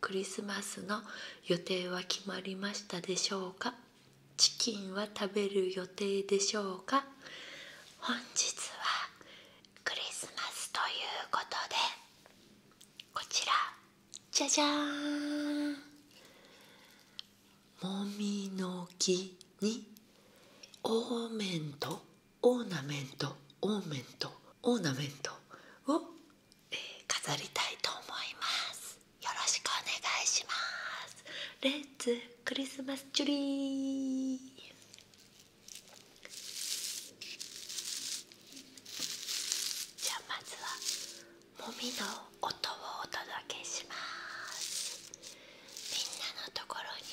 クリスマスの予定は決まりましたでしょうかチキンは食べる予定でしょうか本日はクリスマスということでこちらじゃじゃーんもみの木にオーメンオーナメントオーメントオーナメントを、えー、飾りたいと思いますよろしくお願いしますレッツクリスマスチュリーじゃあまずはもみの音をお届けしますみんなのところに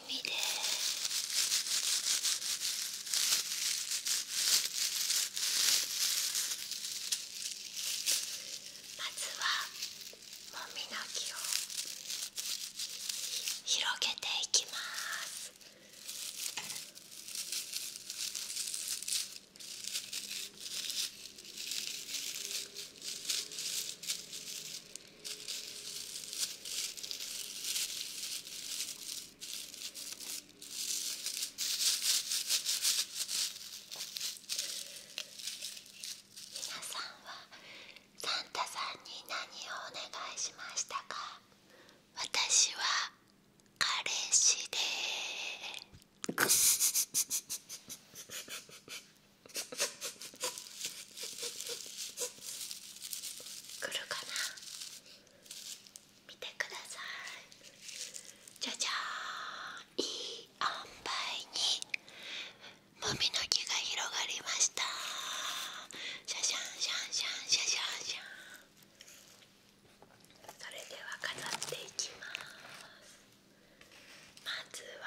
まずはもみの木を広げていきます皆さんはサンタさんに何をお願いしましたか私は彼氏でーす来るかな見てくださいじゃじゃーんいい塩梅にもみの木が広がりましたシャシャンシャンシャンシャシャンシャンそれでは飾っていきますまずは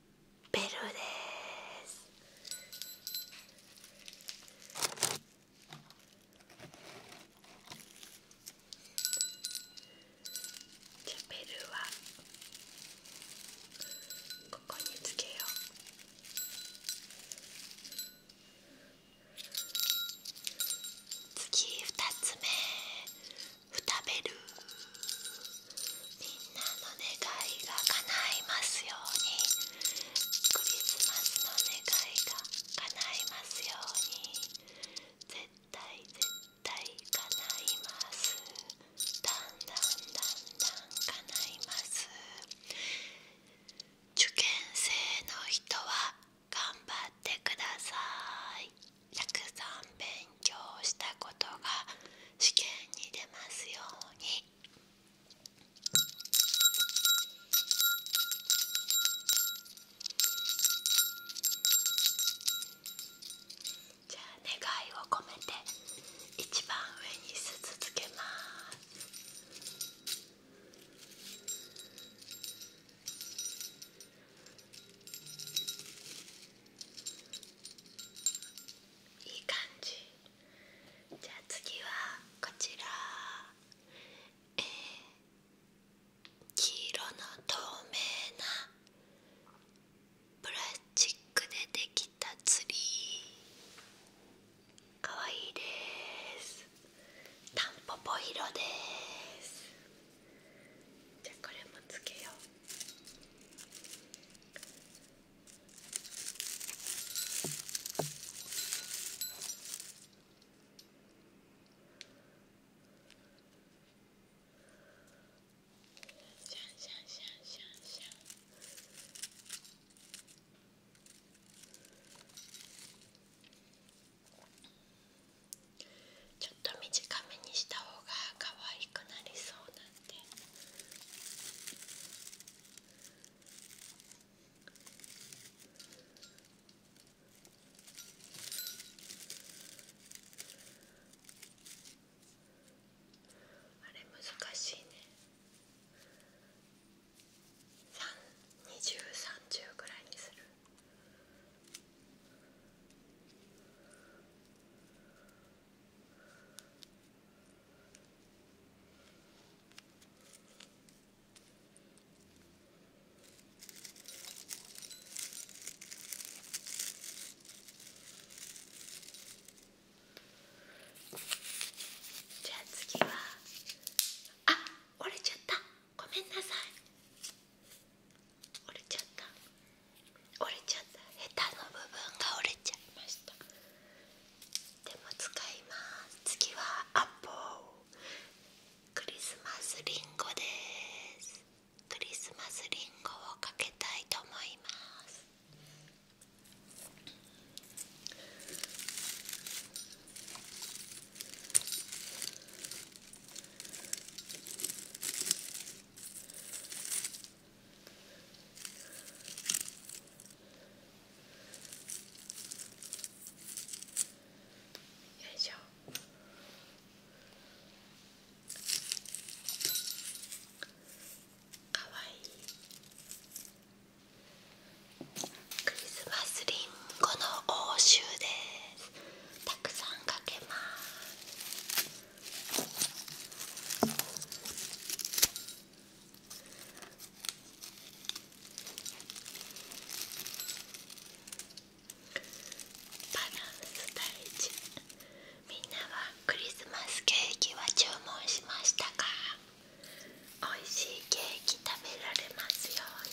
ベルですじゃベルはここにつけよう次二つ目ふたベルみんなの願いが叶いますようにクリスマスの願いが叶いますように絶対絶対叶いますだんだんだんだん叶います受験生の人は頑張ってくださいたくさん勉強したことが試験に出ますように。じゃあ願いを込めて一番上に鈴つけますいい感じじゃあ次はこちら、え黄色の透明なプラスチックでできたツリーかわいいですタンポポ色ですじゃあこれもつけようシャンシャンシャンシャンシャンちょっと短めにした方が可愛くなりそうなのっあれ難しいね2030ぐらいにする。じゃあ次はあ折れちゃったごめんなさい折れちゃった折れちゃったヘタの部分が折れちゃいましたでも使います次はアポクリスマスリンゴですクリスマスリンゴをかけたいと思いますよいしょかわいいクリスマスリンゴの応酬ですたくさんかけますバランス大事みんなはクリスマスケーキは注文しましたか美味しいケーキ食べられますように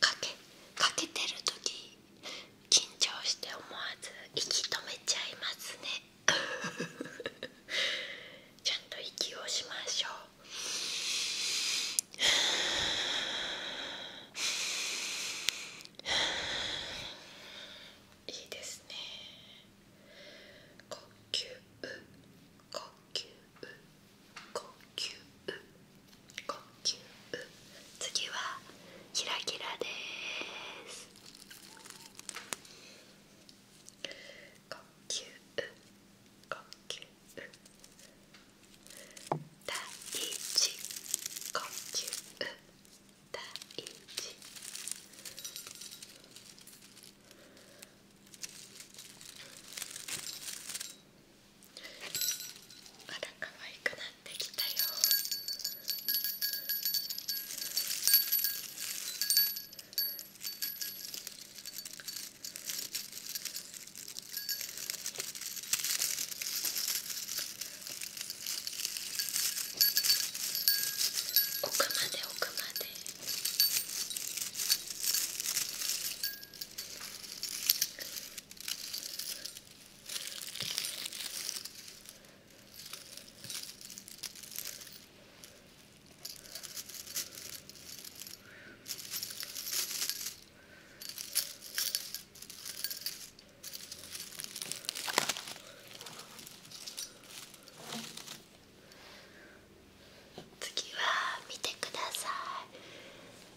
かけかけてる時緊張して思わず息止めちゃいますね ちゃんと息をしましょういいですね呼吸呼吸呼呼吸呼吸次はキラキラです呼吸呼吸第一呼吸第一第まだ可愛くなってきたよ奥まで奥まで。次は見てください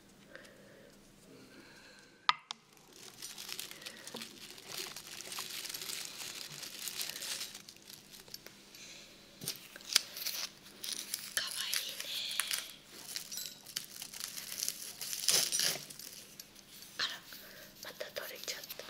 かわいいねあらまた取れちゃった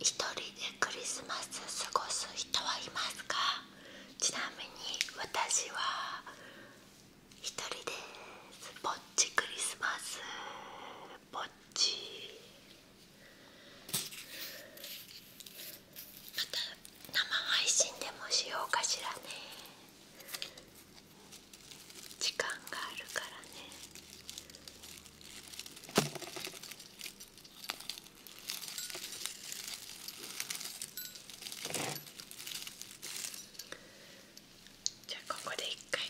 一人でクリスマス過ごす人はいますかちなみに私は一人ですぼっちクリスマスぼっちまた生配信でもしようかしらね時間があるからねじゃあここで一回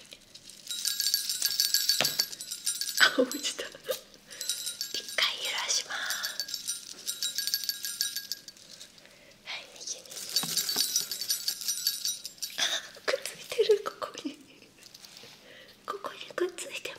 あ落ちた一回揺らします右にくっついてるここにここにくっついてます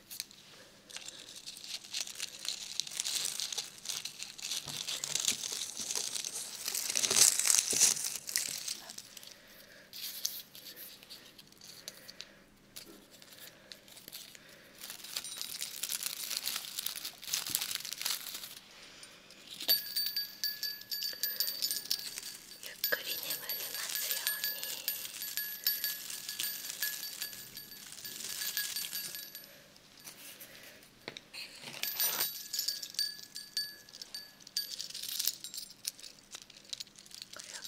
ゆっくり眠れますように。これは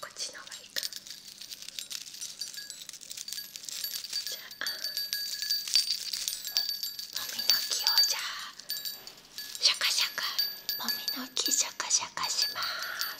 こっちの方がいいかじゃあもみの木をじゃあシャカシャカもみの木シャカシャカします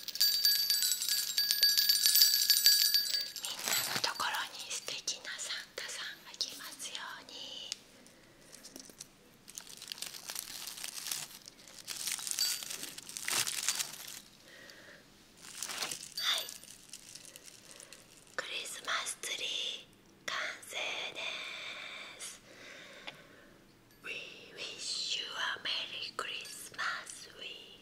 みんなのところに素敵なサンタさんが来ますように。はいクリスマスツリー完成です We wish you a Merry c h r i s t m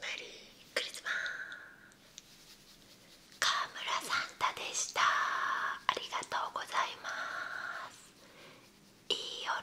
メリークリスマス川村サンタでしたありがとうございますいい夜を